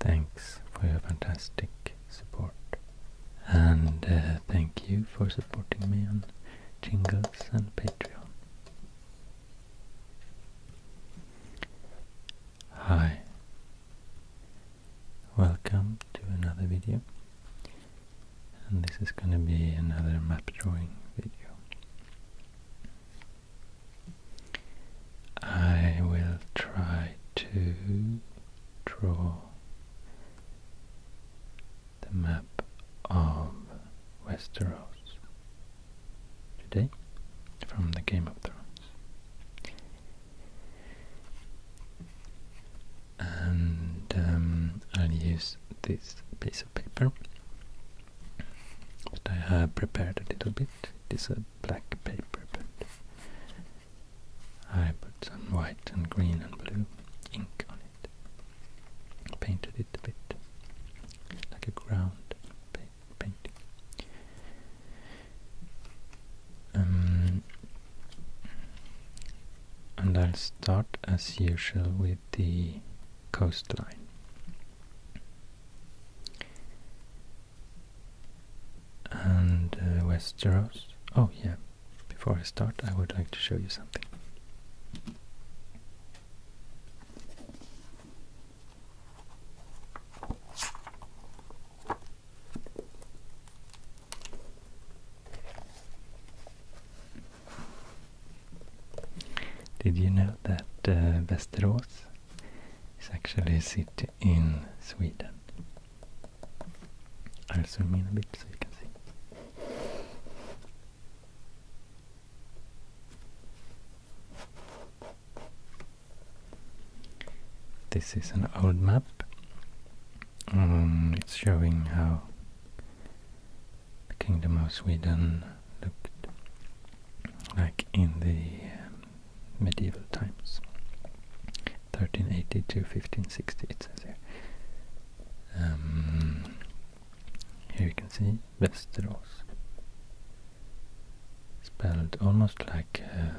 Thanks for your fantastic support. And uh, thank you for supporting me on Jingles and Patreon. Hi, welcome to another video and this is going to be another map drawing video. I will try to draw the map of Westeros today from the Game of Thrones. And um, I'll use this piece of paper that I have prepared a little bit. It is a black paper, but I put some white and green and blue ink on it. Painted it a bit like a ground paper. Um, and I'll start as usual with the coastline. And uh, Westeros. Oh, yeah, before I start, I would like to show you something. Did you know that uh, Västerås is actually a city in Sweden? I'll zoom in a bit so you can see. This is an old map. Um, it's showing how the Kingdom of Sweden looked like in the um, medieval times 1380 to 1560, it says here. Um, here you can see Westeros spelled almost like uh,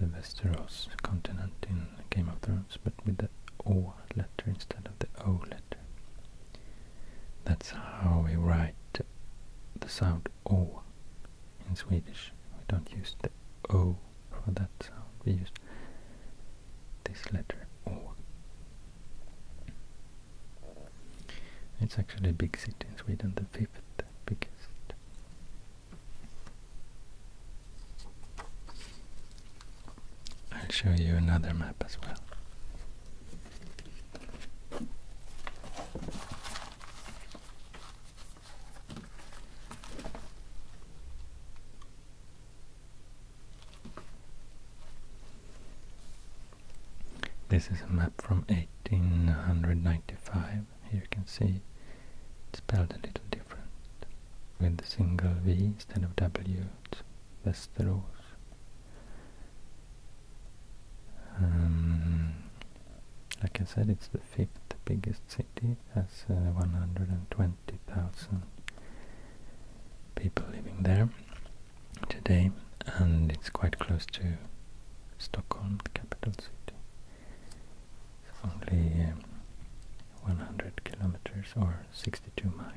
the Westeros continent in Game of Thrones, but with the O letter instead of the O letter. That's how we write the sound O in Swedish. We don't use the O for that sound, we use this letter O. It's actually a big city in Sweden, the fifth biggest. I'll show you another map as well. This is a map from 1895. Here you can see it's spelled a little different. With the single V instead of W, That's the Um, like I said, it's the fifth biggest city, has uh, 120,000 people living there today, and it's quite close to Stockholm, the capital city. It's only um, 100 kilometers or 62 miles.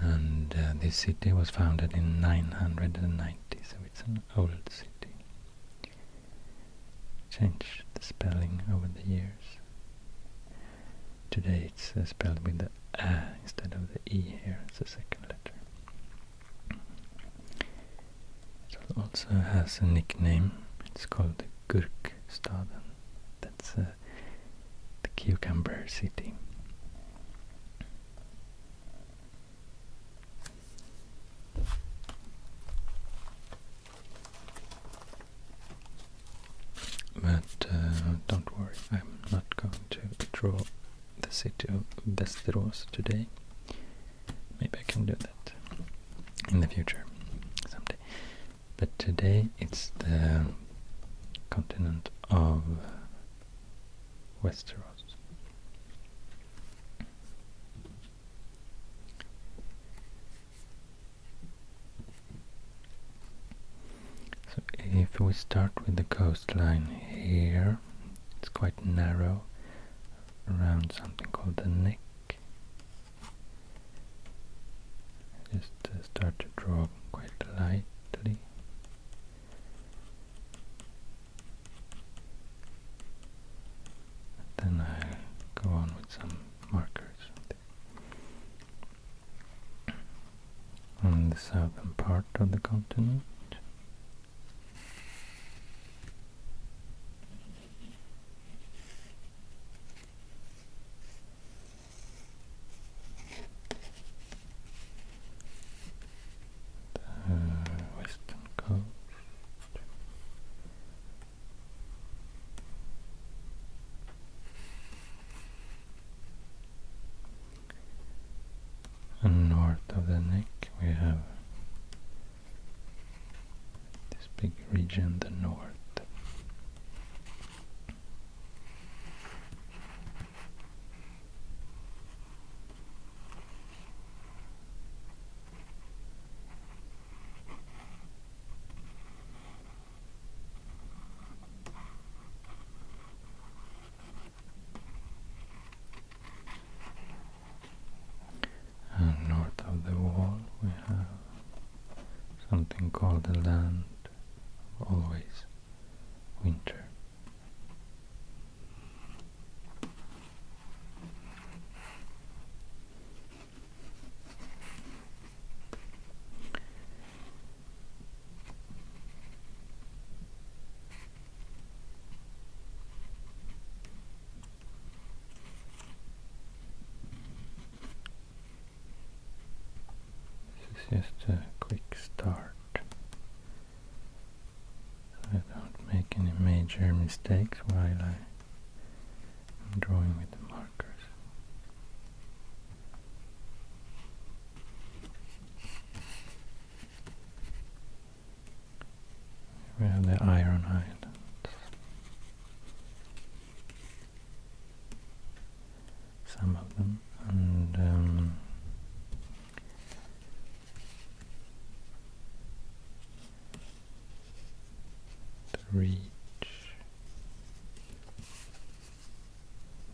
And uh, this city was founded in 990, so it's an old city. Changed the spelling over the years. Today it's uh, spelled with the A instead of the E here, it's the second letter. It also has a nickname, it's called the Gurkstaden. That's uh, the cucumber city. But uh, don't worry, I'm not going to draw the city of Västerås today. Maybe I can do that in the future, someday. But today it's the continent of Westeros. So if we start with the coastline here, it's quite narrow around something called the neck. Just uh, start to draw quite lightly. Then i go on with some markers on the southern part of the continent. The western coast. And north of the neck we have this big region, the north. And north of the wall we have something called the land of always winter. This is just a quick start. I don't make any major mistakes while I am drawing with the markers. We have the Iron Islands. Some of them, and um, reach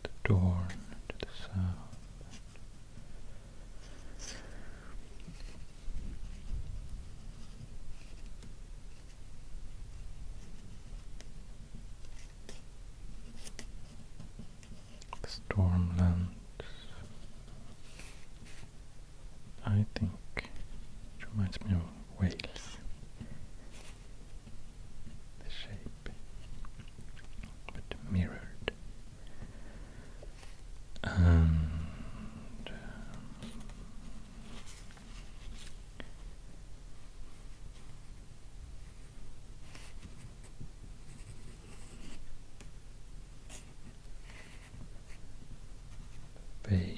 the Dorn to the south. The Stormlands. I think it reminds me of Wales. The shape but mirrored. Pale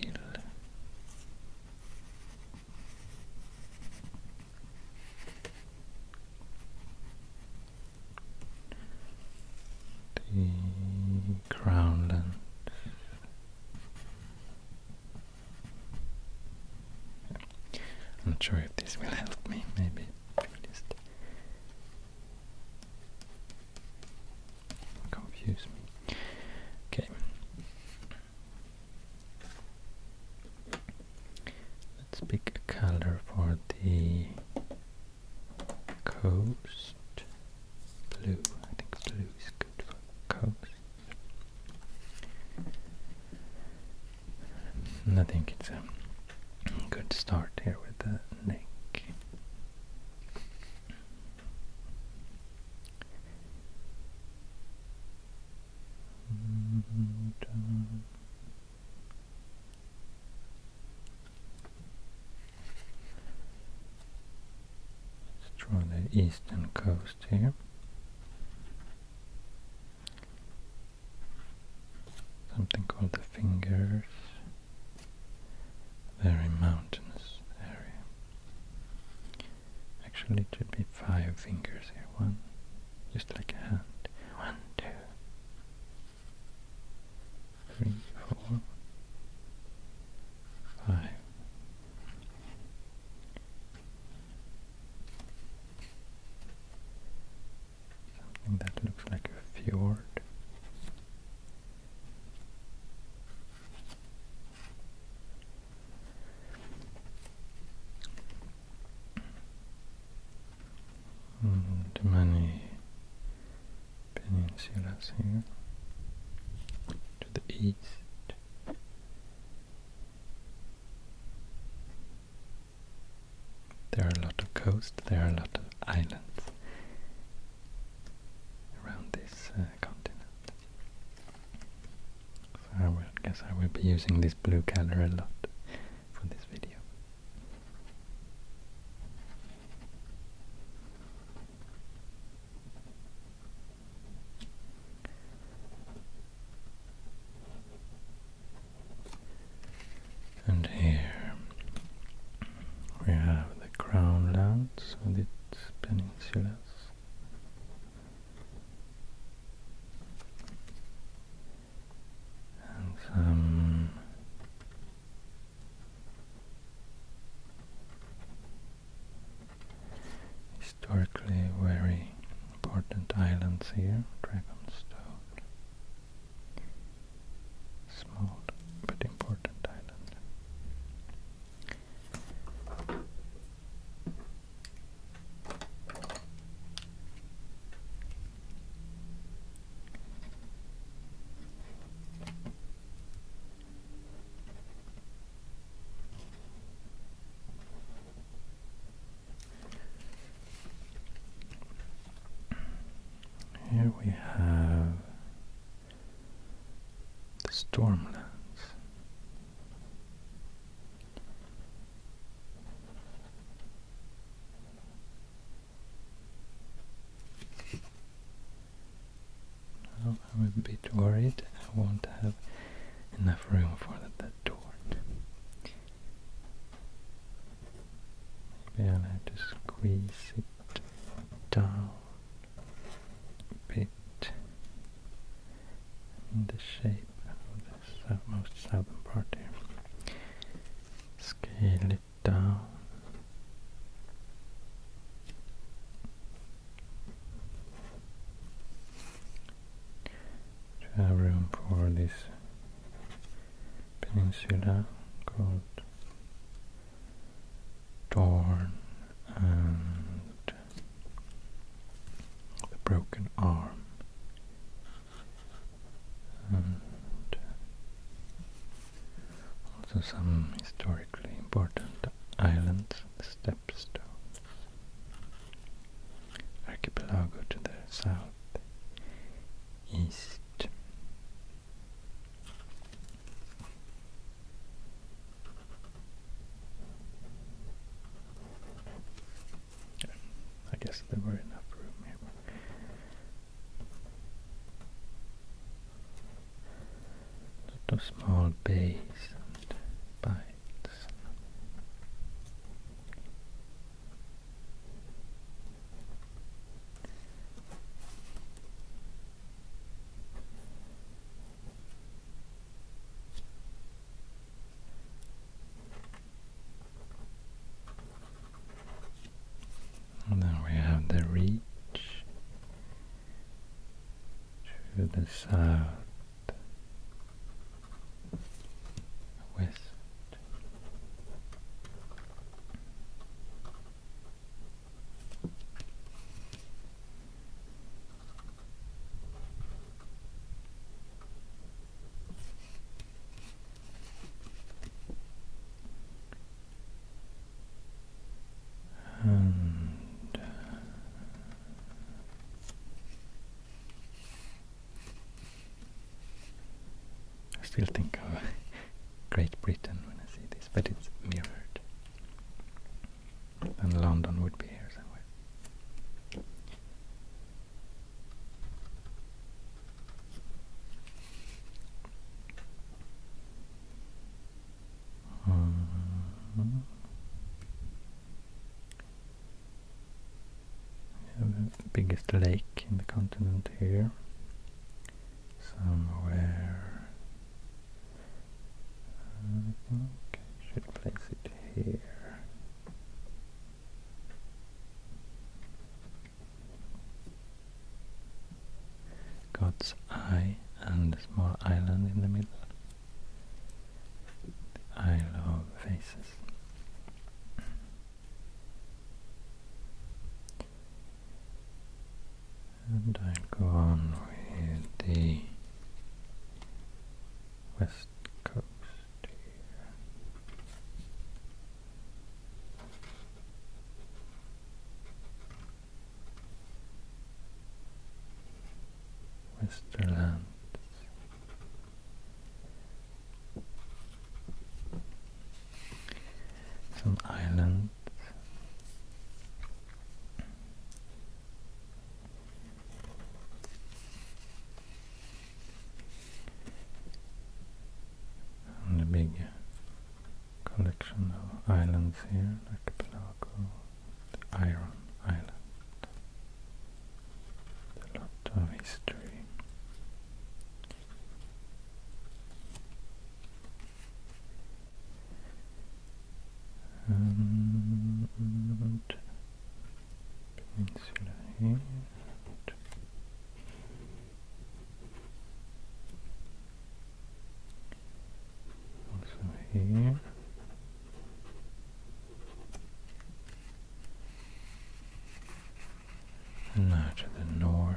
the crownland. I'm not sure if this will help me, maybe. Just confuse me. Okay. Let's pick a color for the coast. Blue, I think blue is good for coast. And I think it's a good start here with the neck. Mm, Let's draw the eastern coast here. Something called the Fingers. Very mountainous area. Actually, it should be five fingers here. One, just like a hand. One, two, three, four, five. that looks like a fjord and many peninsulas here to the east there are a lot of coasts, there are a lot of islands around this uh, continent so I will, guess I will be using this blue color a lot for this video. And here we have the Crown Lands and its peninsulas some um, historically very important islands here, Dragonstone, small but important island. Here we have the Stormlands. I'm a bit worried. I won't have enough room for that, that door. Maybe I'll have to squeeze it down a bit in the shape of the most southern part here. Scale it down. room for this peninsula called Dorn and the broken arm and also some historically important islands, the Stepstones, archipelago to the south, east. I guess there were enough room here. Sort of small bays and bites then we have the reach to the south, west. I still think of Great Britain when I see this, but it's mirrored, and London would be here somewhere the uh, biggest lake in the continent here, somewhere. I uh, think should place it here. God's Eye and small island in the middle. Isle of Faces. And I'll go on with the west coast Westerland. It's some islands. And a big collection of islands here, like Pelago, the Iron Island. A lot of history. And peninsula here also here and now to the north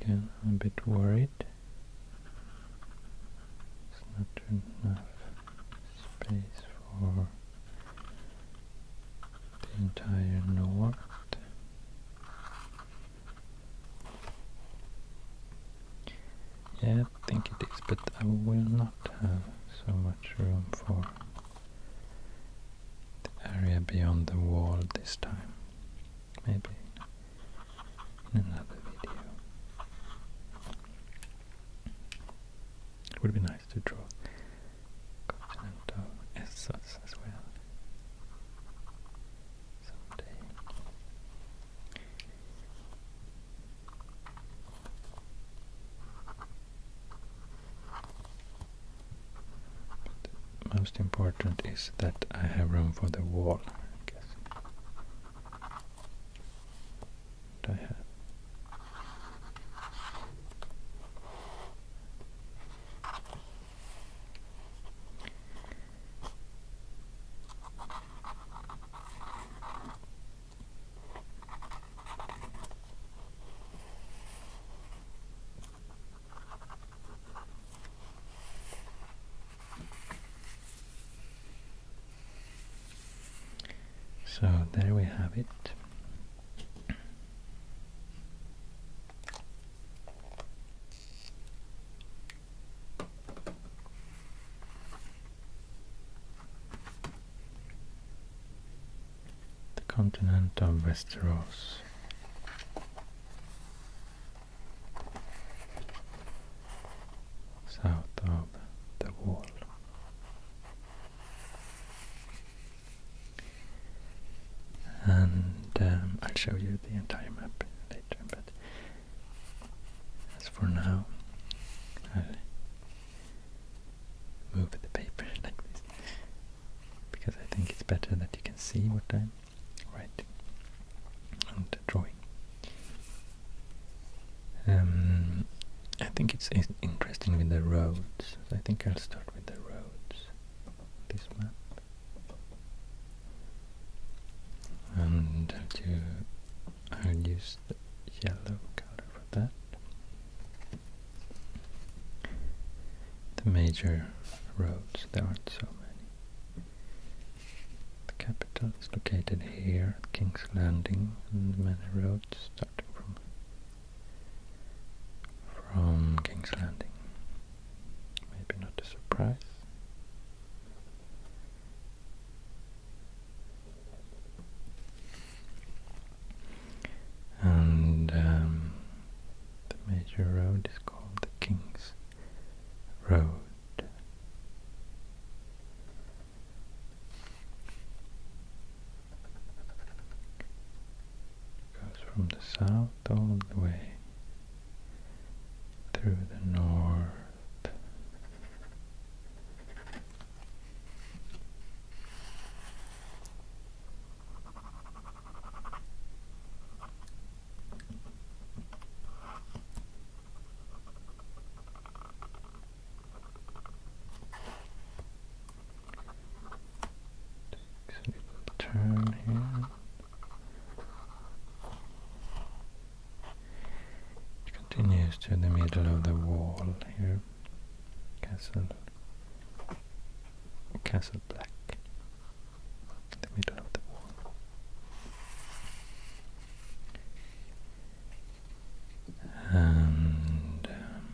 Again, I'm a bit worried. It's not enough space for the entire north. Yeah, I think it is, but I will not have so much room for the area beyond the wall this time. Maybe in another video. It would be nice to draw continental Essos as well someday. But most important is that I have room for the wall, I guess. I have so there we have it. The continent of Westeros south of the wall. And um, I'll show you the entire map later, but as for now, i move the paper like this because I think it's better that you can see what I'm right, and drawing. Um, I think it's, it's interesting with the roads. I think I'll start with the roads. This map, and I'll, do, I'll use the yellow color for that. The major roads, there aren't so the capital is located here at King's Landing and many roads starting from from King's Landing. Maybe not a surprise. And um, the major road is called the King's Road. Goes from the south all the way through the north. Takes a turn here. It continues to the middle of the wall here. Castle Castle Black the middle of And um,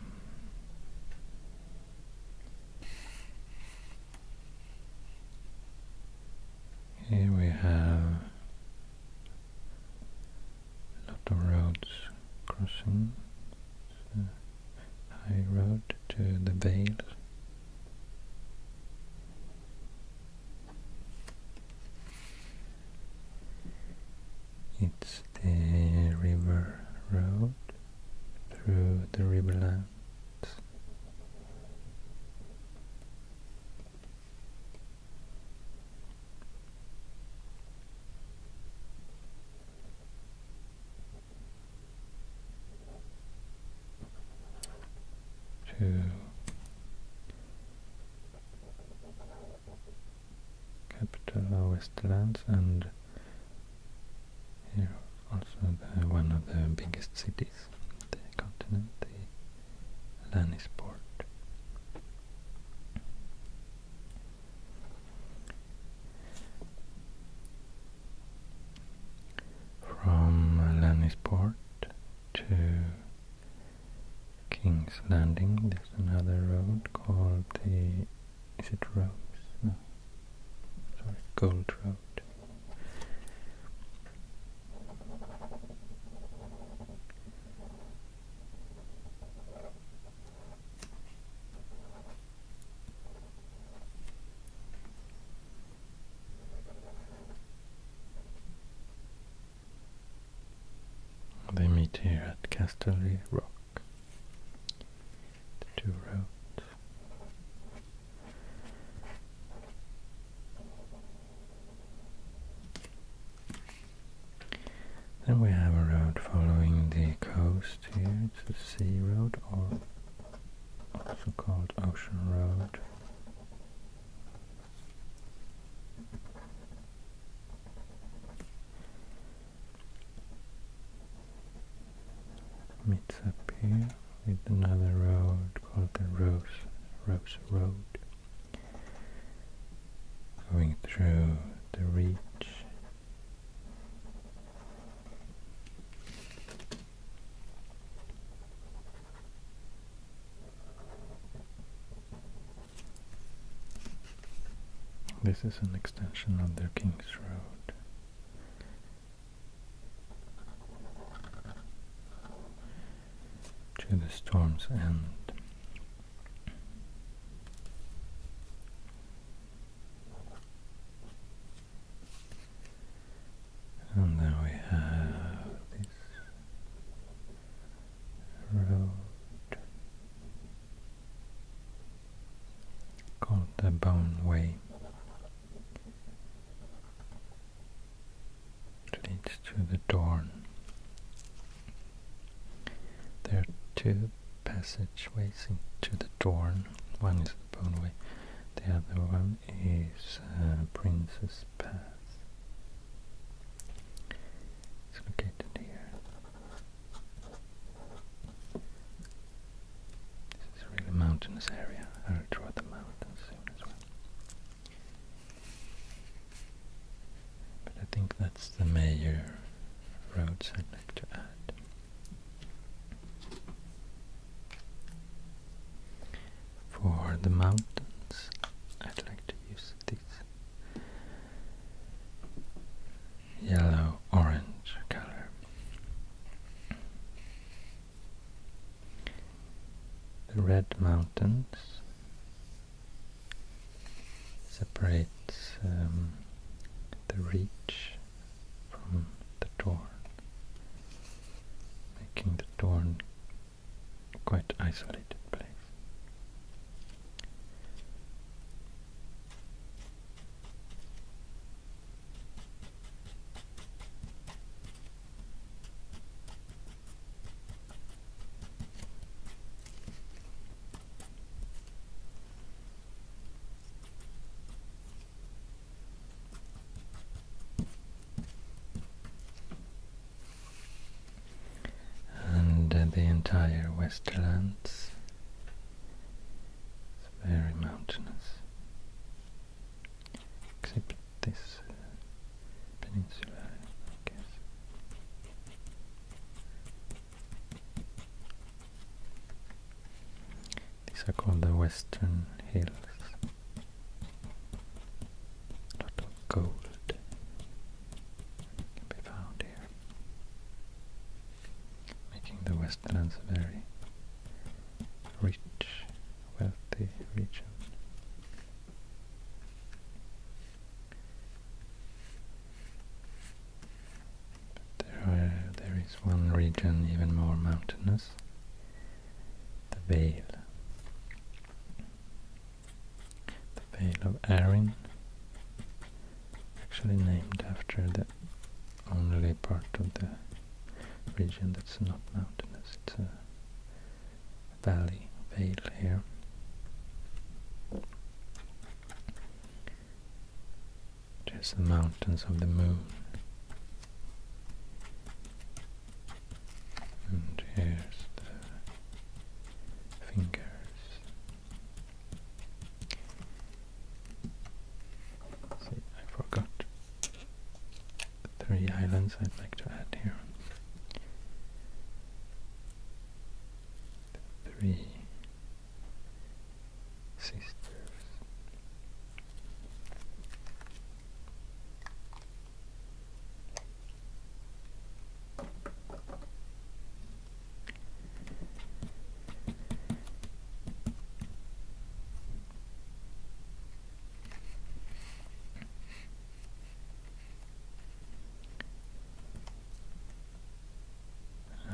here we have a lot crossing. high road to the Vale it's the river road through the riverlands to capital of Westlands and here also one of the biggest cities on the continent, the Lannisport from Lanisport to King's Landing there's another road called the is it Rose? Sorry, Gold Road. They meet here at Casterly Rock. The two roads. Then we have a road following the coast here. It's a sea road so-called Ocean Road. Meets up here with another road called the Rose, Rose Road, going through the reach this is an extension of the King's Road. To the storm's end. And there we have this road called the Bone Way. leads to the Dorn. There are two passageways into the Dorn. One is the Bone Way, the other one is uh, Princess Pass. It's located here. This is a really mountainous area. I'll draw the mountains soon as well. But I think that's the major roads I'd like to add. For the mountains, I'd like to use this yellow orange color. The red mountains separates um, the reach from the Dorn, making the Dorn quite isolated place and uh, the entire Westerlands is very mountainous, except this uh, peninsula, I guess. These are called the Western Hills. A of gold can be found here, making the Westlands a very rich, wealthy region. there, there is one region even more mountainous, the veil. The Veil of Erin, actually named after the only part of the region that's not mountainous. It's a valley, vale here. There's the mountains of the moon and here's the fingers. See, I forgot three islands I'd like to add here. three sisters.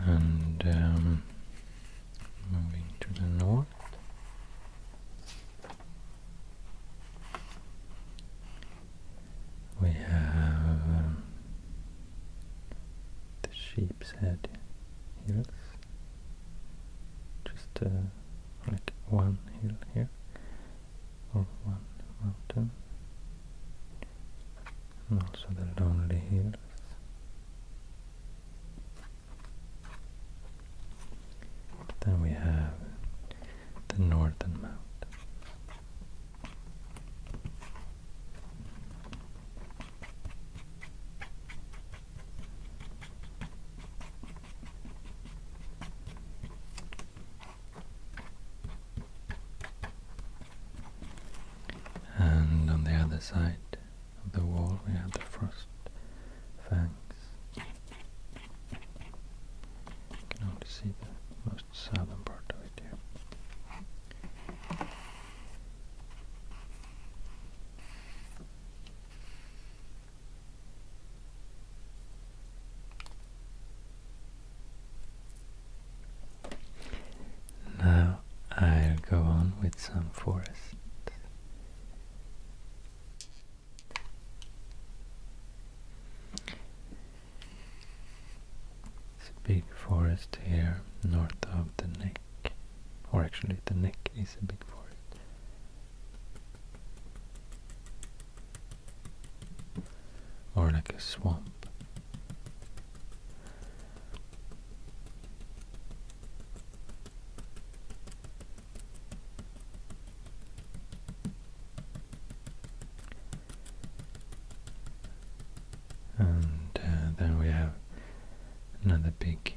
And um, moving to the north, we have um, the sheep's head hills, just uh, like one hill here, or one mountain, and also the lonely hills. Then we have the northern mount, And on the other side of the wall we have the frost fangs can only see the most southern part of it here. Now I'll go on with some forests. It's a big forest here north of the neck. Or actually the neck is a big forest. Or like a swamp. And uh, then we have another big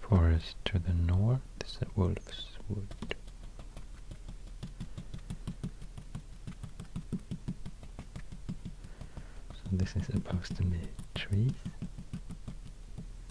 forest to the north. This is Wolf's Wood. So this is supposed to be trees.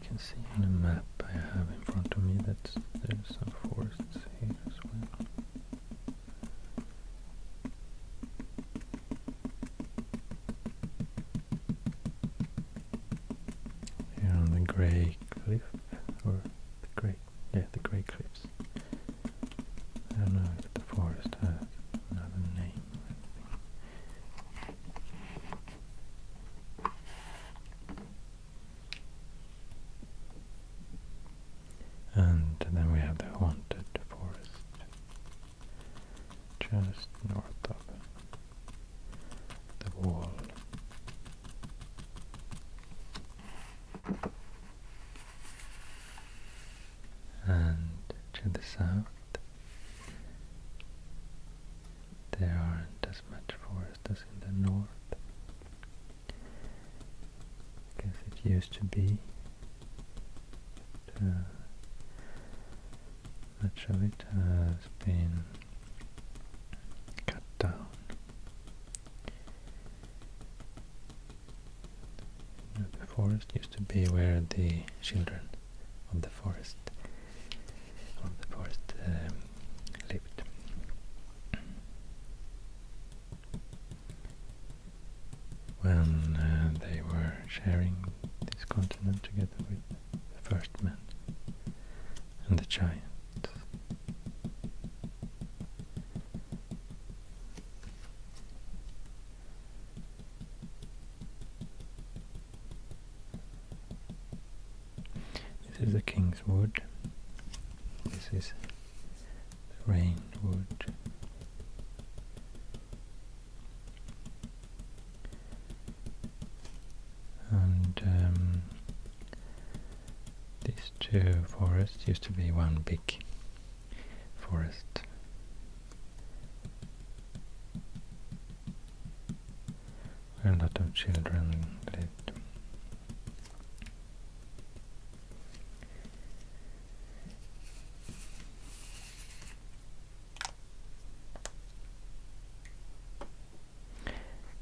I can see on the map I have in front of me that there's some forests here as well. Here on the grey cliff, or the grey, yeah, the grey cliffs. I don't know if the forest has another name and then we have the haunted forest just north of the wall. And to the south there aren't as much forests as in the north. Because it used to be uh, much of it has been cut down. The forest used to be where the children of the forest of the forest um, lived. When uh, they were sharing this continent together with the first man and the giant. This is the king's wood. This is the rain wood. And um, these two forests used to be one big forest a lot of children lived.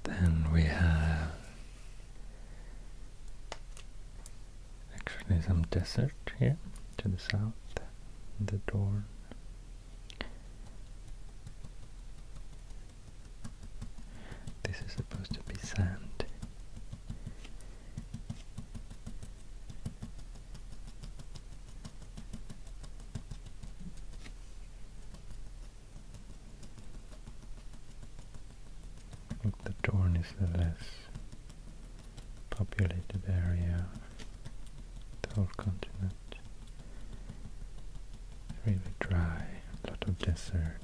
Then we have actually some desert here to the south, the Dorn. This is supposed to be sand. I the Dorn is the less populated area, the whole continent really dry, a lot of desert.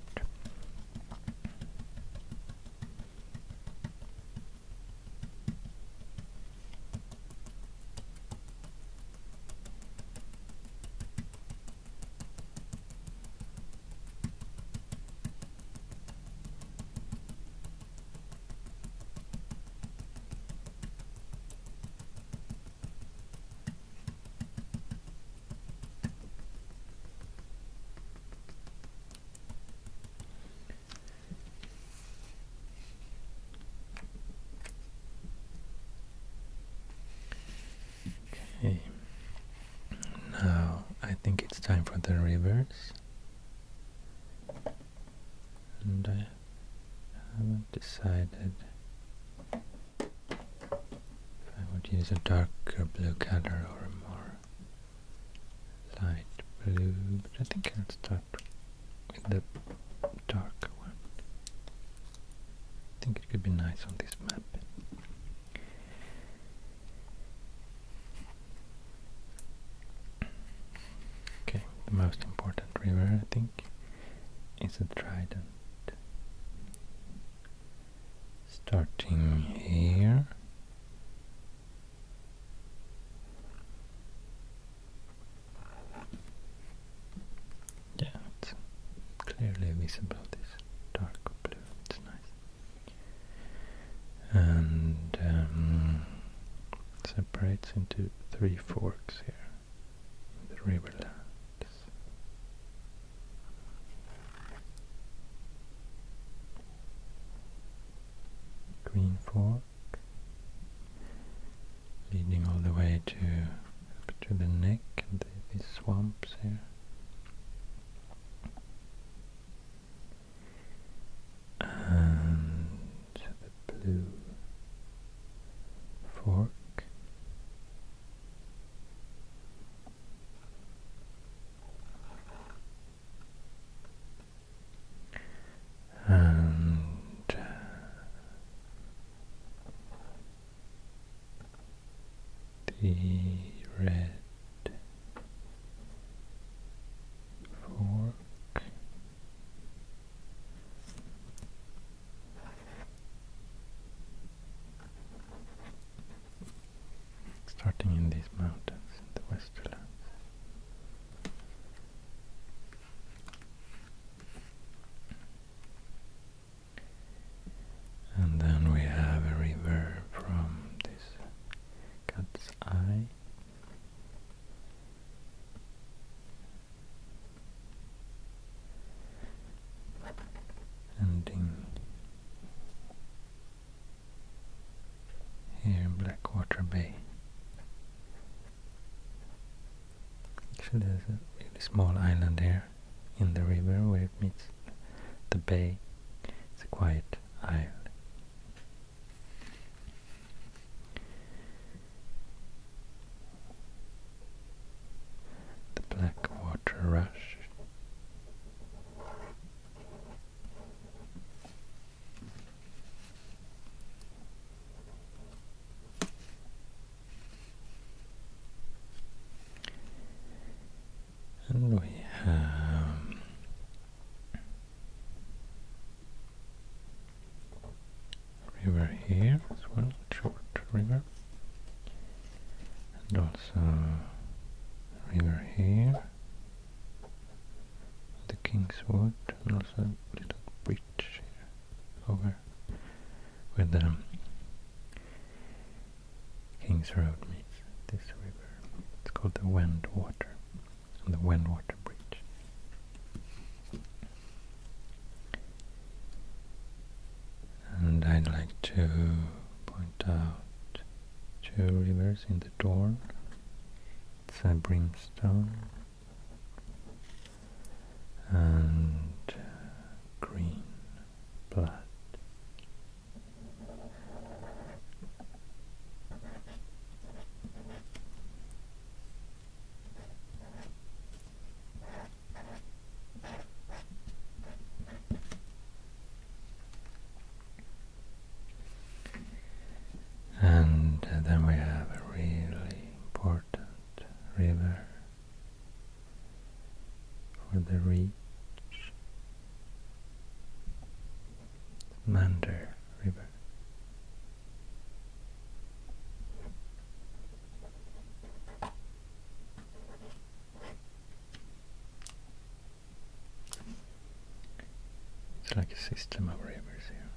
Okay. Now I think it's time for the reverse. And I haven't decided I would use a darker blue color or a more light blue, but I think I'll start with the darker one. I think it could be nice on this map. Okay, the most important river, I think. It's a trident. Starting here. Yeah, it's clearly visible this dark blue, it's nice. And um, separates into three forks here in the riverland. Green fork leading all the way to up to the neck and the, swamps here. And the blue fork and uh, the red fork starting in these mountains in the Westerlands. And then we have a river from this cat's eye ending here in Blackwater Bay. Actually there's a really small island there, in the river where it meets the bay. It's a quiet island the black water rush. And we have river here as well, short river and also river here the Kingswood and also a little bridge over where the um, King's Road meets this river. It's called the Water, and the Water Bridge and I'd like to point out two rivers in the Dorn. It's a brimstone and green blood. And uh, then we have a really important river for the reach, Mander River. It's like a system of rivers here.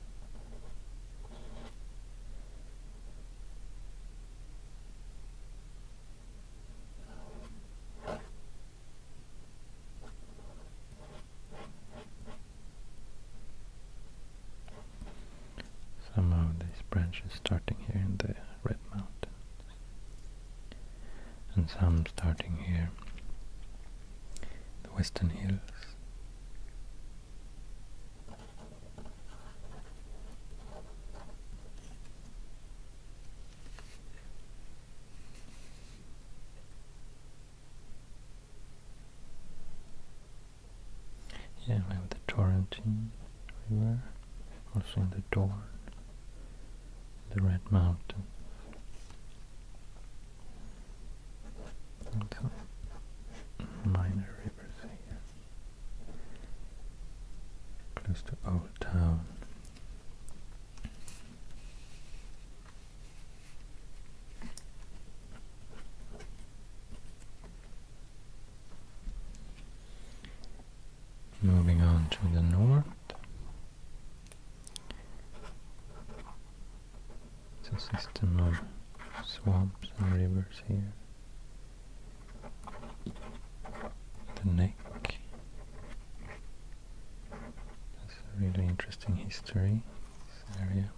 Some of these branches starting here in the Red Mountain and some starting here, the Western Hills. Yeah, we have the Torrentine also the Dorn, the Red Mountain. some minor rivers here, close to Old Town. Moving on to the north. It's a system of swamps and rivers here. The neck. That's a really interesting history, this area.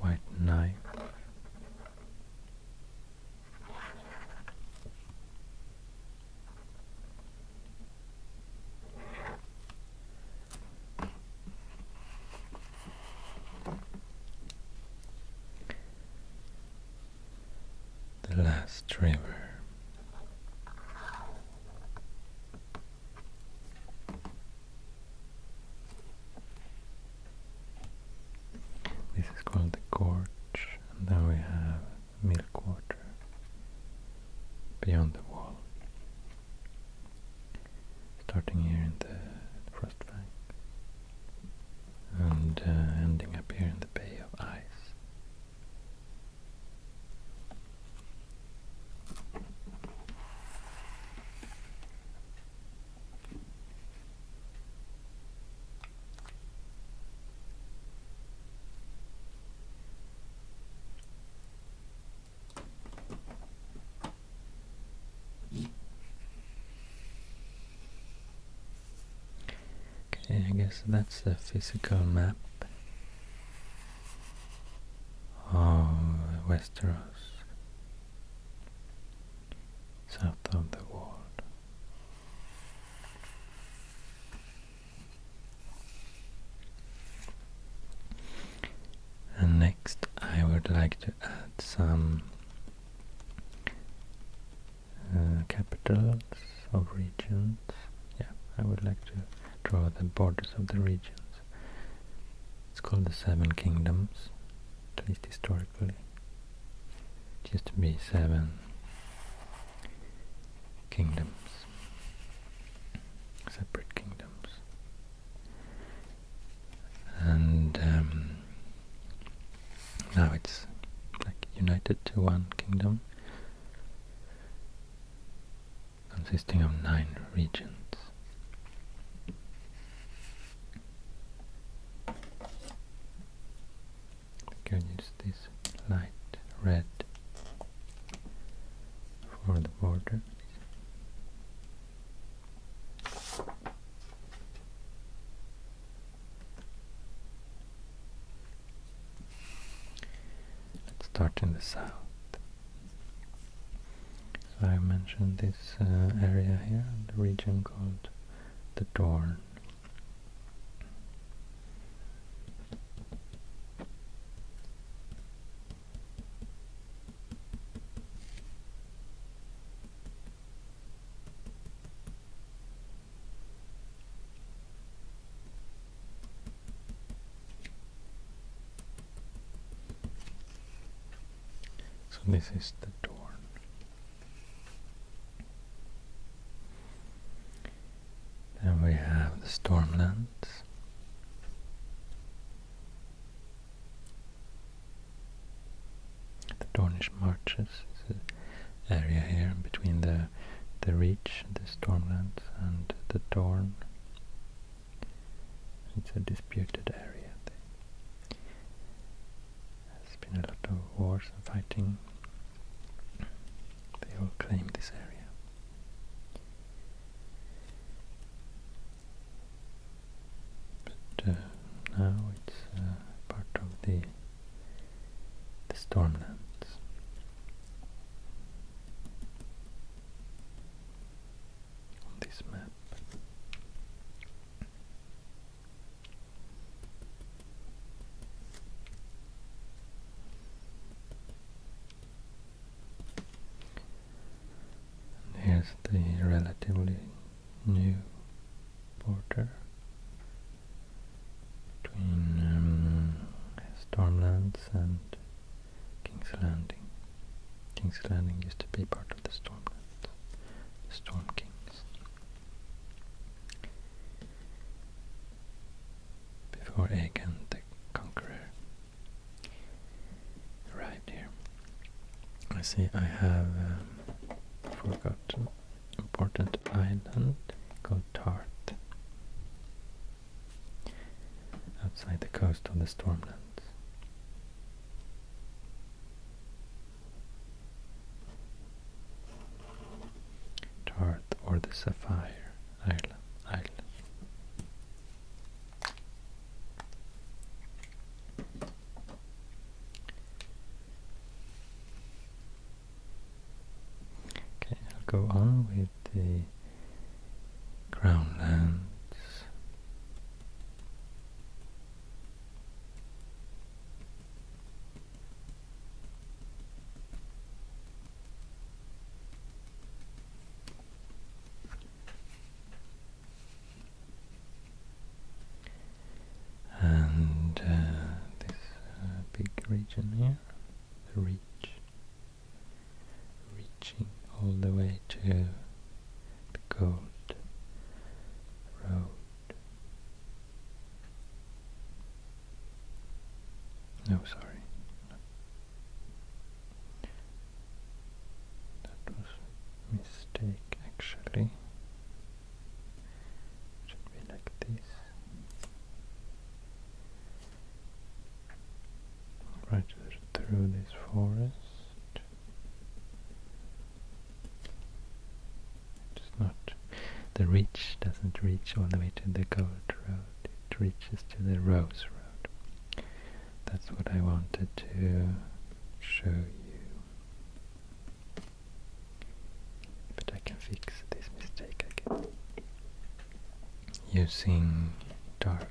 White knight. The last river. This is called the gorge, and then we have milk water beyond the wall. Starting here in the frost bank and uh, ending up here in the Bay of Ice. Okay, I guess that's the physical map Oh, Westeros, south of the wall. And next I would like to add some uh, capitals of regions. Yeah, I would like to draw the borders of the regions. It's called the Seven Kingdoms, at least historically. Just to be seven kingdoms, separate kingdoms. And um, now it's like united to one kingdom consisting of nine regions. We can use this light red for the border. Let's start in the south. So I mentioned this uh, area here, the region called the Dorn. So this is the Dorn. Then we have the Stormlands. The Dornish Marches is an area here between the the Reach, the Stormlands and the Dorn. It's a disputed area. There's been a lot of wars and fighting. They all claim this area. But uh, now it's uh, part of the the stormlands this map. here's the relatively new border between um, Stormlands and King's Landing. King's Landing used to be part of the Stormlands, Storm Kings. Before Aegon the Conqueror arrived here. I see I have um, forgotten important island called outside the coast of the stormlands. Tarth or the Sapphire Island. Okay, I'll go on with the Crownlands and uh, this uh, big region here, the Reach reaching all the way to the gold road. No, sorry. That was mistake actually. should be like this right through this forest. It's not the reach doesn't reach all the way to the gold road. It reaches to the rose road. That's what I wanted to show you. But I can fix this mistake again using dark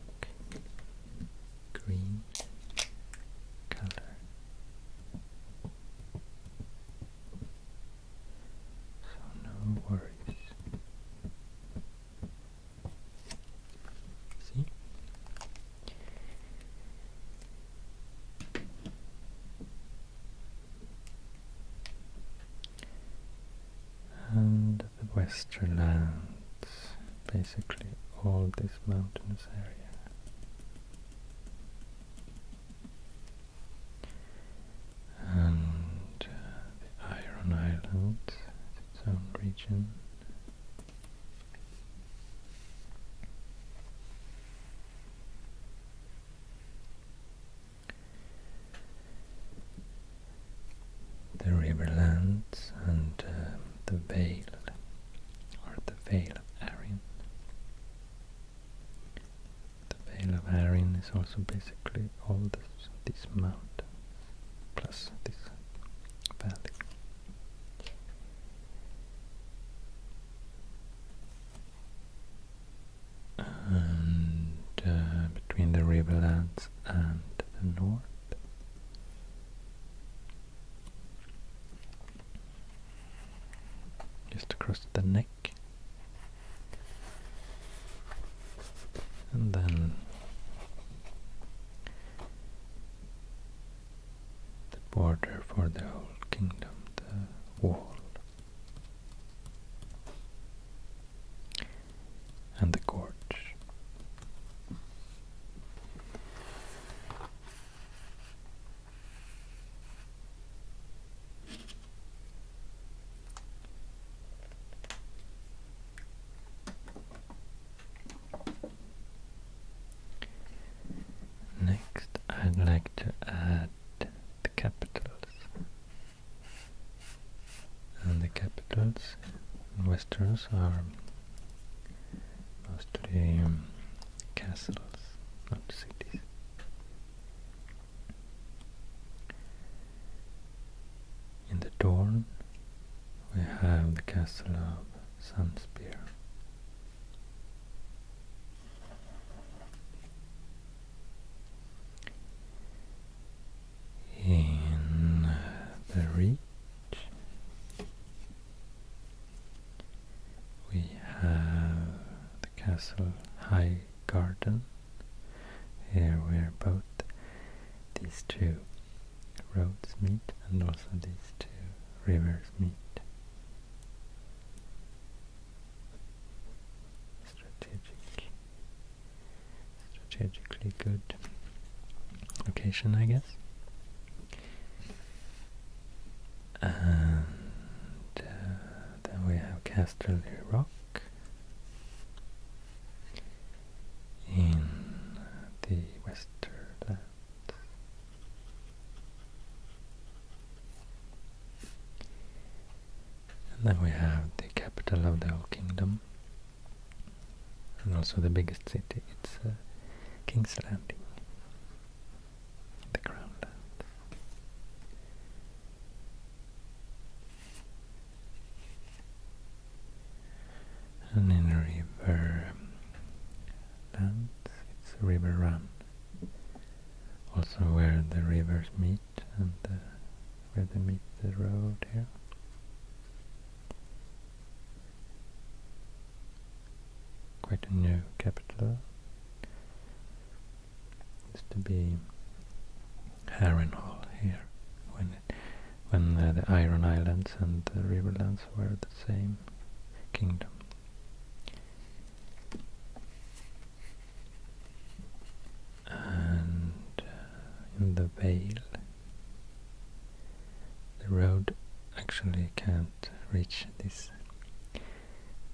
green color. So no worries. See? And the western lands, basically all this mountainous area. And uh, the Iron Island, its own region the Riverlands and uh, the Vale or the Vale of Arryn. The Vale of Arryn is also basically all this, these mountains plus this valley. And uh, between the Riverlands and the north just across the neck. And then the border for the whole kingdom, the wall and the gorge. Next, I'd like to add the capitals and the capitals in Westerns are mostly um, castles, not cities. In the Dorn we have the castle of Sunspear in the reach we have the castle high garden here where both these two roads meet and also these two rivers meet strategic strategically good location, I guess. And uh, then we have Casterly Rock in the Westerland. And then we have the capital of the whole kingdom, and also the biggest city, it's uh, King's Landing, the Crown And in River Land, it's River Run, also where the rivers meet and uh, where they meet the road here quite a new capital. Used to be Harrenhal here, when when uh, the Iron Islands and the Riverlands were the same kingdom. And uh, in the Vale, the road actually can't reach this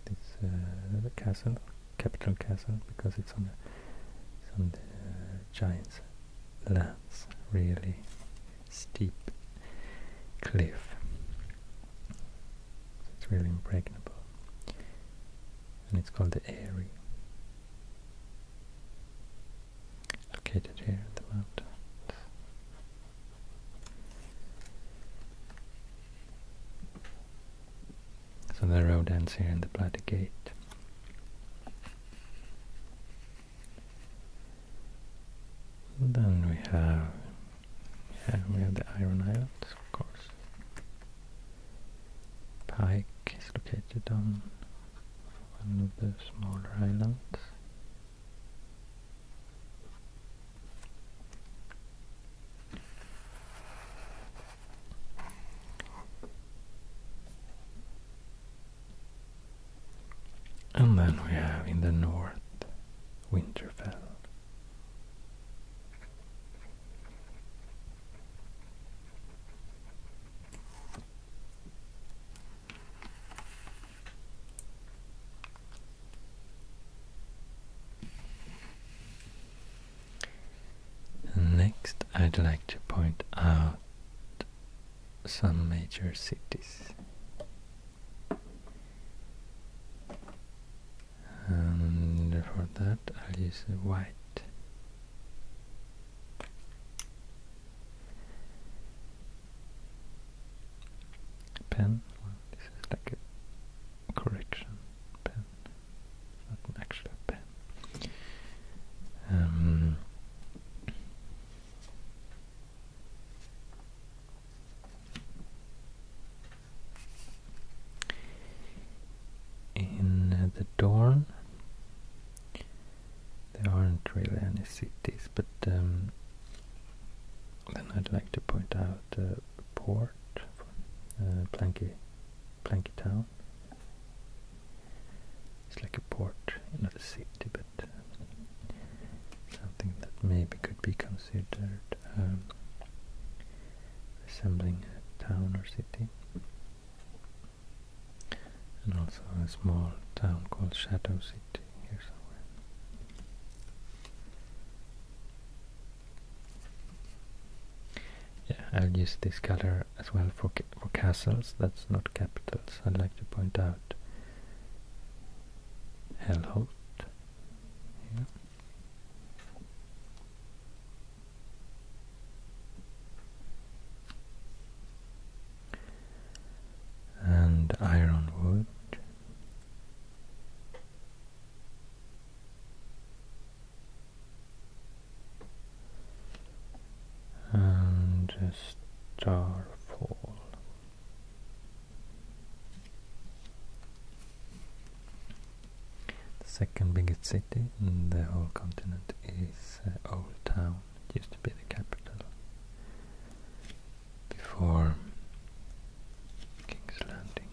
this uh, castle, capital castle, because it's on, on the uh, giant's lands, really steep cliff. it's really impregnable. And it's called the Airy located here at the mountains. So the road ends here in the Platy Gate. Then we have yeah, we have the Iron Islands, of course. Pike is located down one of the smaller islands. And then we have in the north Winterfell. Next, I'd like to point out some major cities. And for that, I'll use white pen. this is like a correction pen, an actual pen. Um, in the door there aren't really any cities, but um, then I'd like to point out uh, a port, uh, Planky, Planky Town. It's like a port, not a city, but uh, something that maybe could be considered um, resembling a town or city and also a small town called Shadow City here somewhere. Yeah, I'll use this color as well for for castles. That's not capitals. I'd like to point out Helholt and ironwood. And starfall. The second biggest city in the whole continent is uh, Old Town it used to be the capital before King's Landing.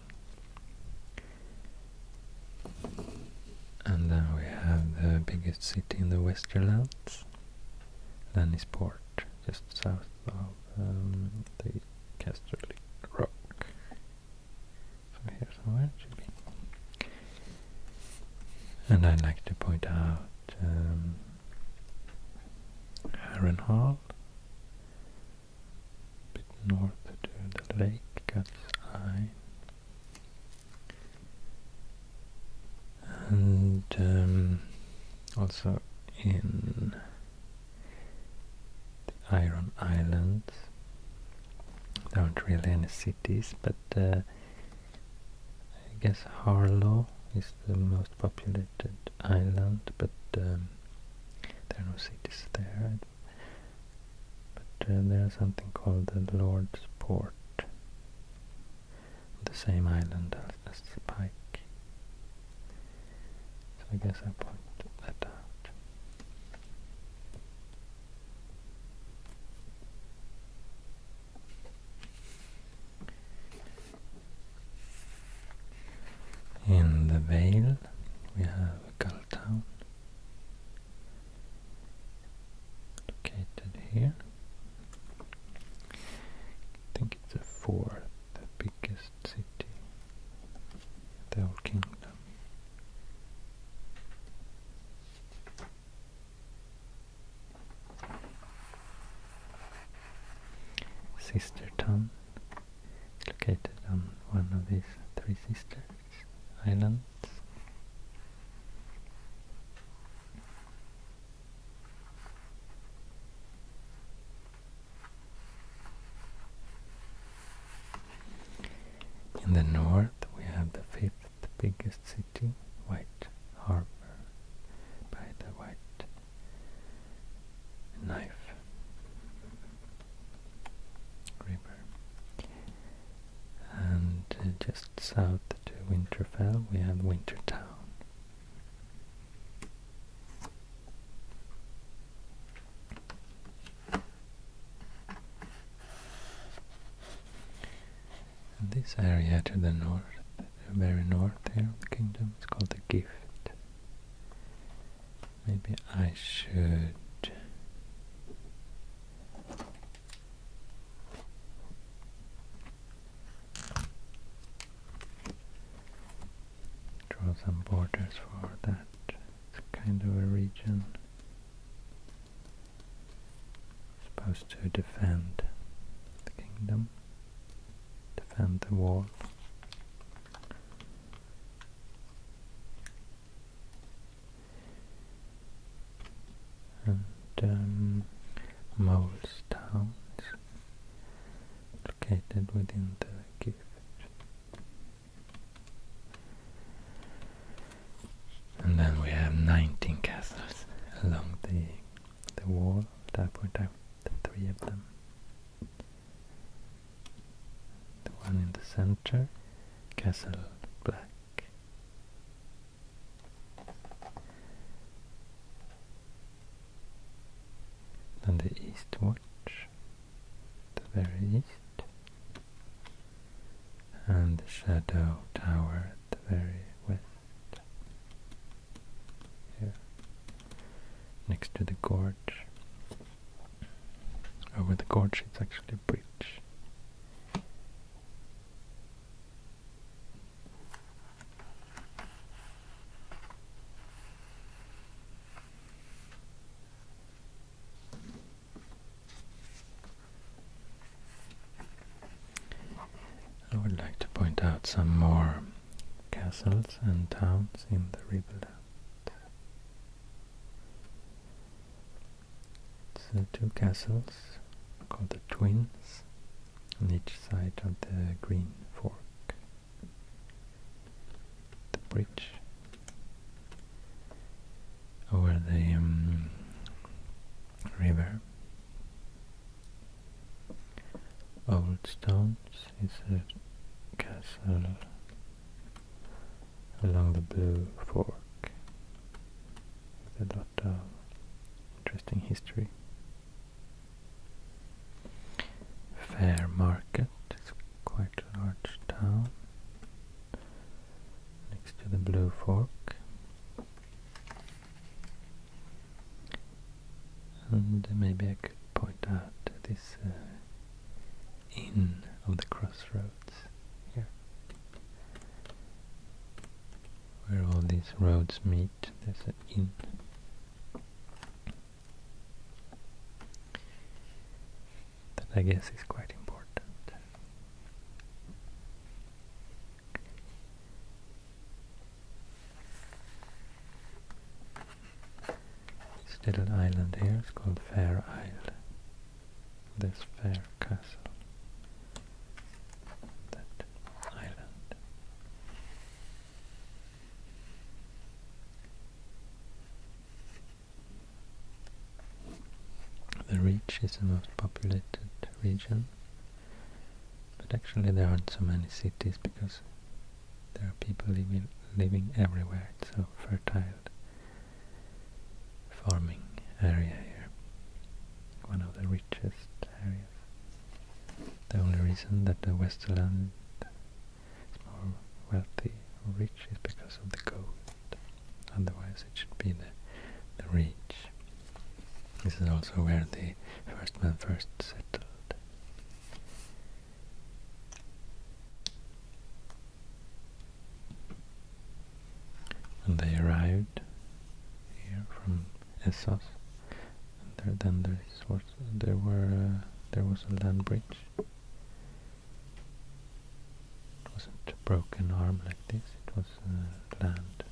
And then we have the biggest city in the Westerlands, Lannisport, just south of um, the Casterly Rock. So here somewhere should be. And I would like to point out um, Heron Hall. A bit north to the lake, Cat's Eye. And um, also in the Iron Islands. There aren't really any cities, but uh, I guess Harlow is the most populated island, but um, there are no cities there. But uh, there is something called the Lord's Port, the same island as, as the Pike. So I guess I pointed that out. In the Vale we have a gull town located here. I think it's the fourth biggest city in the whole kingdom. Sister Town, located on one of these Three Sisters islands. In the north we have the fifth the biggest city, White Harbor, by the White Knife River. And uh, just south to Winterfell we have Wintertown. And this area to the north, the very north here of the kingdom, it's called the gift. Maybe I should draw some borders for that it's kind of a region supposed to defend the kingdom defend the wall. And um, Moles Town located within the Gifford. And then we have 19 castles along the the wall at that point, I, the three of them. The one in the center, Castle Black. and the East Watch, the very east, and the Shadow Tower the very west here next to the gorge. Over the gorge it's actually a bridge. I would like to point out some more castles and towns in the Riverland. So uh, two castles called the Twins on each side of the Green Fork. The bridge over the um, river Old Stones is a castle along the Blue Fork a lot of interesting history. Fair Market is quite a large town next to the Blue Fork. And um, maybe I could point out this uh, inn of the crossroads here, where all these roads meet. There's an inn. That I guess is quite important. This little island here is called Fair Isle. This fair castle. That island. The Reach is the most populated region but actually there aren't so many cities because there are people living, living everywhere. It's a fertile farming area here. One of the richest areas. The only reason that the western land is more wealthy or rich is because of the gold. Otherwise it should be the, the rich this is also where the first men first settled. they arrived here from Essos. And there, then there was there was a land bridge. It wasn't a broken arm like this. It was uh, land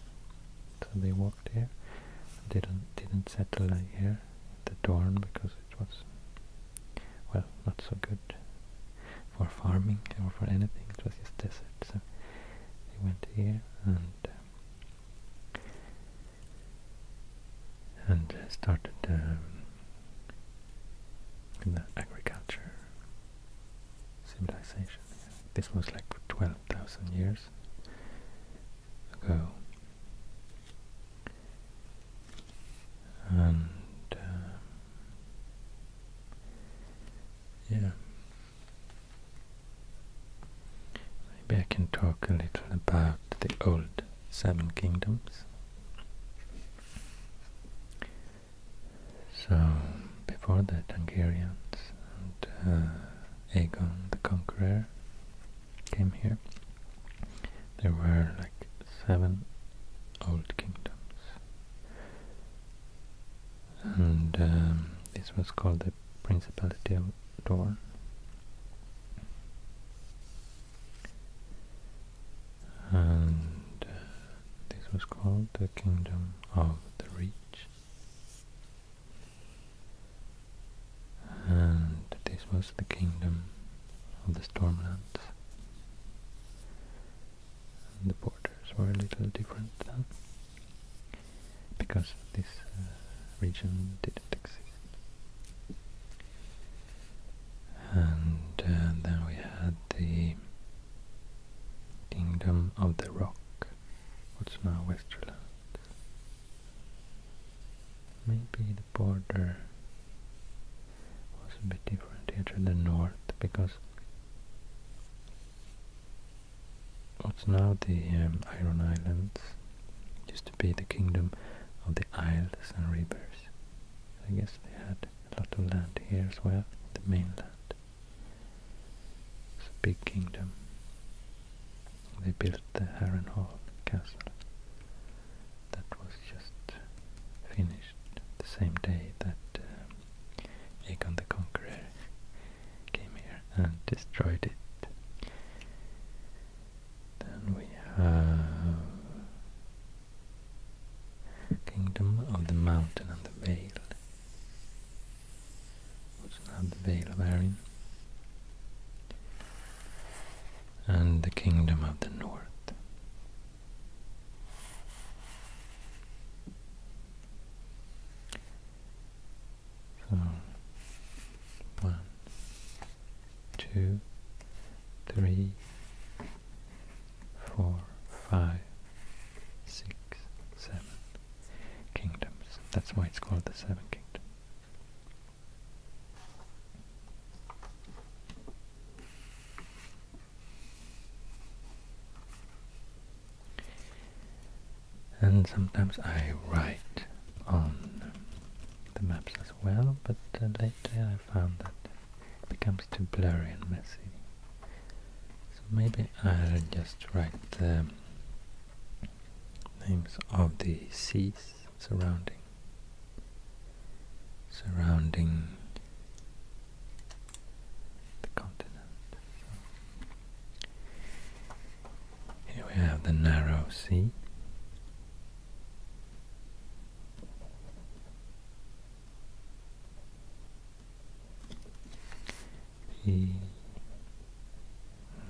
so they walked here. didn't, didn't settle here at the Dorn because it was, well, not so good for farming or for anything. It was just desert, so they went here and um, and started um, the agriculture civilization. This was like 12,000 years weeks And um, yeah, maybe I can talk a little about the old Seven Kingdoms. So before that, Hungarians and uh, Aegon the Conqueror came here, there were like seven old kingdoms, and um, this was called the Principality of Dorne. And uh, this was called the Kingdom of the Reach. And this was the kingdom of the Stormlands. And the borders were a little different now, because this uh, region didn't exist. And uh, then we had the kingdom of the rock, what's now Westerland. Maybe the border was a bit different here to the north because what's now the um, Iron Islands used to be the kingdom of the isles and rivers. I guess they had a lot of land here as well, the mainland. It's a big kingdom they built the Harrenhal castle that was just finished the same day that um, Aegon the Conqueror came here and destroyed it. Then we have Kingdom of the Mountain and the Vale also not the Vale of Arryn and the Kingdom of the North. So, one, two, three, four, five, six, seven kingdoms. That's why it's called the Seven Kingdoms. And sometimes I write on the maps as well, but uh, later I found that it becomes too blurry and messy. So maybe I'll just write the um, names of the seas surrounding surrounding the continent. Here we have the narrow sea. The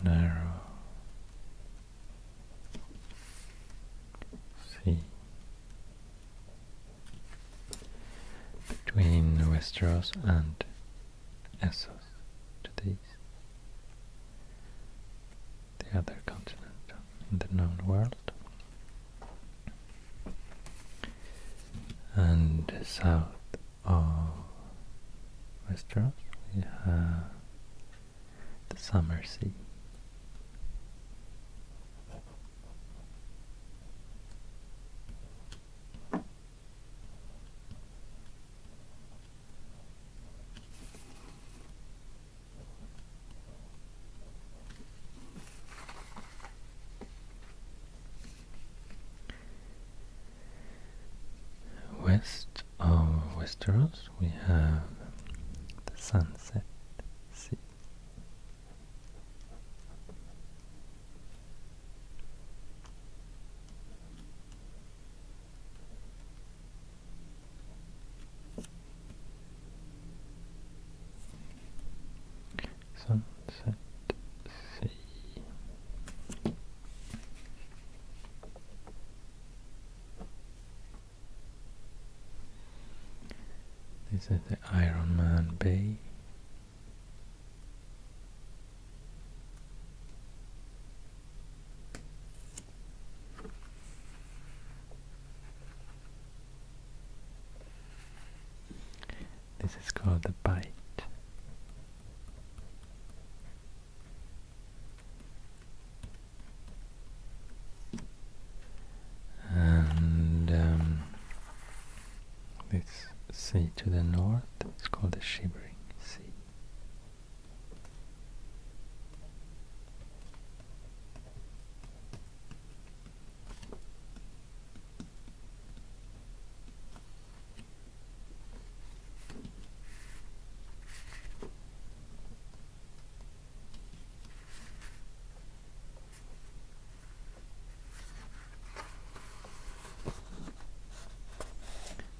narrow sea between Westeros and Essos to the east, the other continent in the known world, and south Oh, uh, restaurants we have the summer sea West of Westeros we have the Sunset Sea. Sunset Sea. This is the Iron Man Bay. This is called the bite. And um, this sea to the north is called the Shivering Sea.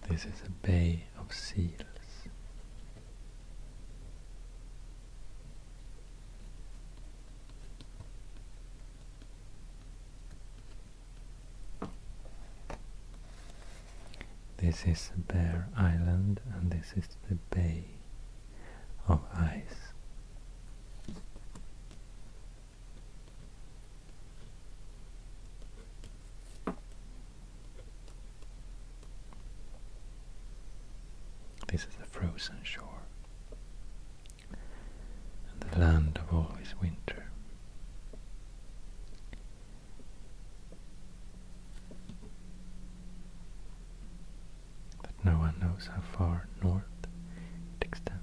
This is a bay of seals. This is Bear Island and this is the Bay of Ice. This is the frozen shore and the land of always winter but no one knows how far north it extends.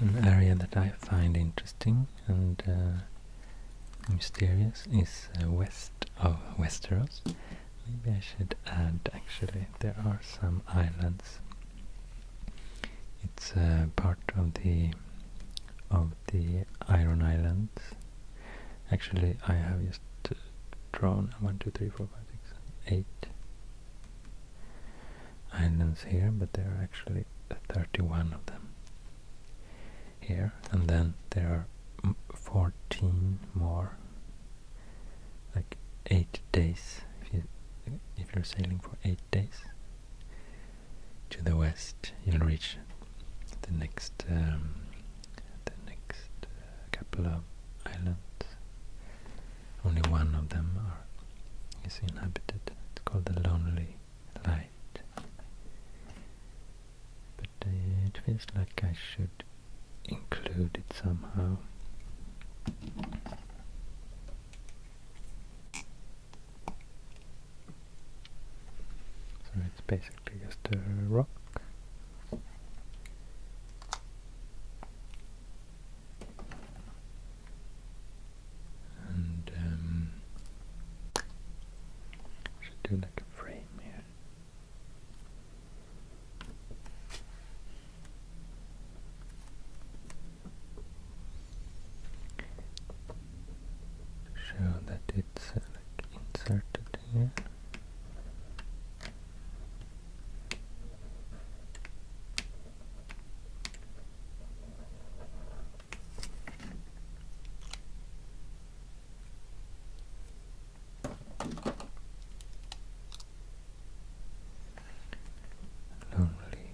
An area that I find interesting and uh, mysterious is uh, west of Westeros. Maybe I should add actually there are some islands it's uh, part of the of the Iron Islands. Actually, I have just uh, drawn one, two, three, four, five, six, eight islands here, but there are actually 31 of them here, and then there are 14 more like eight days if you if you're sailing for eight days to the west you'll reach the next um, the next uh, couple of islands only one of them is inhabited it's called the lonely light but uh, it feels like I should include it somehow so it's basically just a rock. And um, should do like a frame here show that it's uh, inserted here lonely.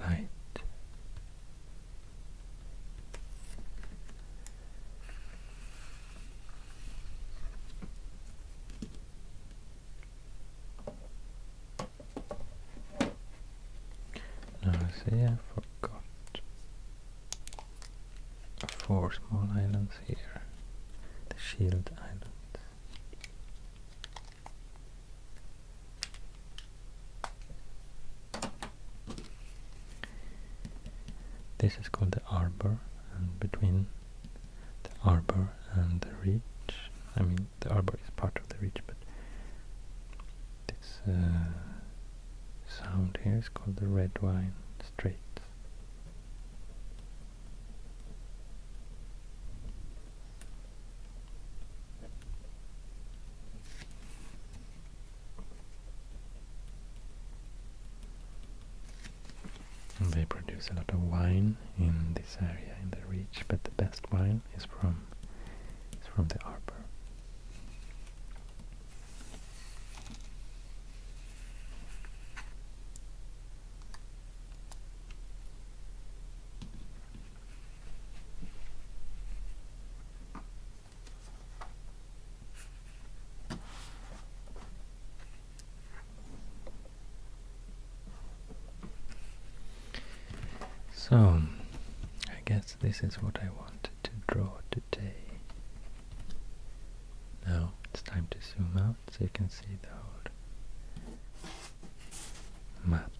Light now see I forgot four small islands here, the shield island. This is called the arbor, and between the arbor and the ridge I mean the arbor is part of the ridge but this uh, sound here is called the red wine straits they produce a lot of wine in this area, in the reach, but the best wine is from is from the arbor. So, I guess this is what I wanted to draw now it's time to zoom out so you can see the whole map.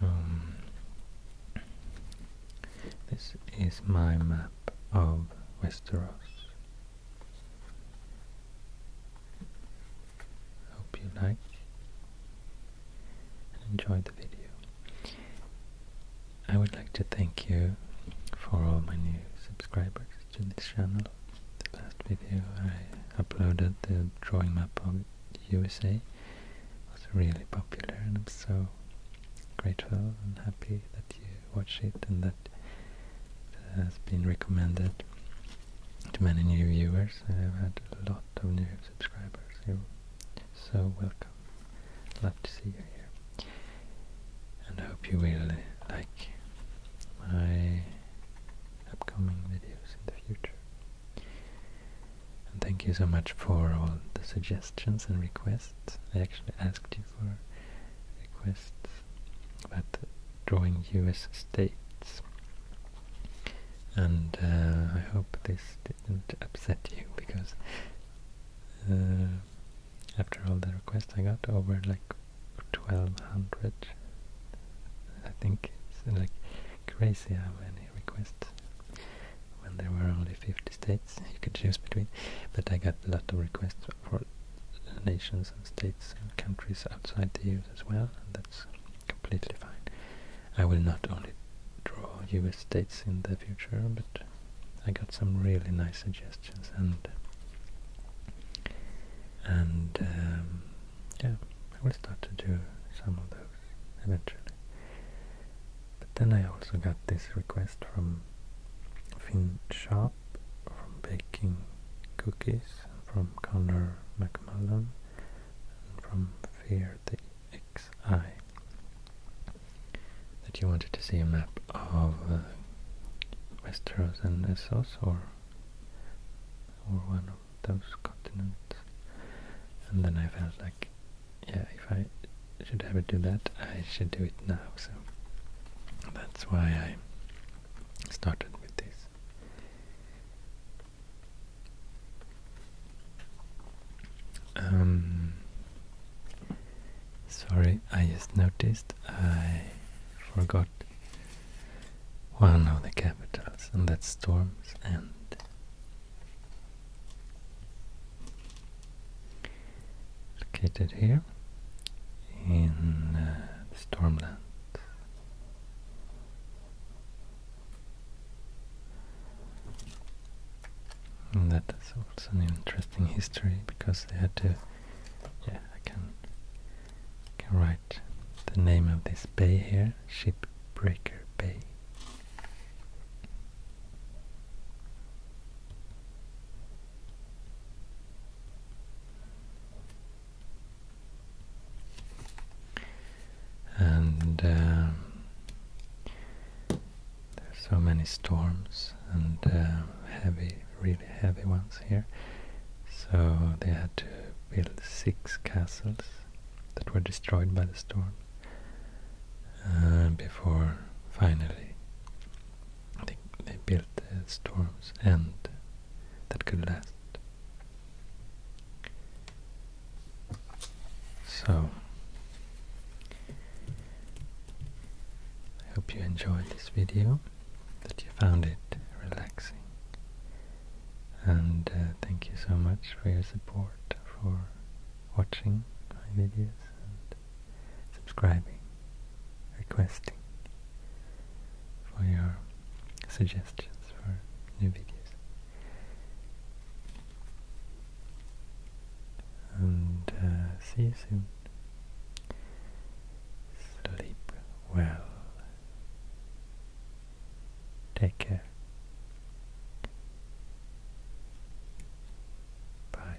So mm, this is my map of Westeros. Hope you like and the video. I would like to thank you for all my new subscribers to this channel. The last video I uploaded, the drawing map of USA, was really popular and I'm so grateful and happy that you watch it and that has been recommended to many new viewers. I've had a lot of new subscribers. you so welcome. Love to see you here. And I hope you will like my upcoming videos in the future. And thank you so much for all the suggestions and requests. I actually asked you for requests about drawing US states. And uh, I hope this didn't upset you because uh, after all the requests I got over like 1200 I think it's like crazy how many requests when there were only 50 states you could choose between. But I got a lot of requests for nations and states and countries outside the US as well, and that's completely fine. I will not only draw US states in the future, but I got some really nice suggestions and and um, yeah, I will start to do some of those eventually. But then I also got this request from Finn Shaw from baking cookies from Connor McMullen from Fear the XI that you wanted to see a map of uh, Westeros and Essos or or one of those continents and then I felt like yeah if I should ever do that, I should do it now. So that's why I started with this. Um, sorry, I just noticed I forgot one of the capitals, and that's Storms and located here in uh, Stormland. And that is also an interesting history because they had to, yeah, I can, can write the name of this bay here, Shipbreaker Bay and uh, there's so many storms and uh, heavy, really heavy ones here. So they had to build six castles that were destroyed by the storm uh, before finally I think they built uh, storms and that could last. So, I hope you enjoyed this video, that you found it relaxing. And uh, thank you so much for your support, for watching my videos subscribing, requesting for your suggestions for new videos. And uh, see you soon. Sleep well. Take care. Bye.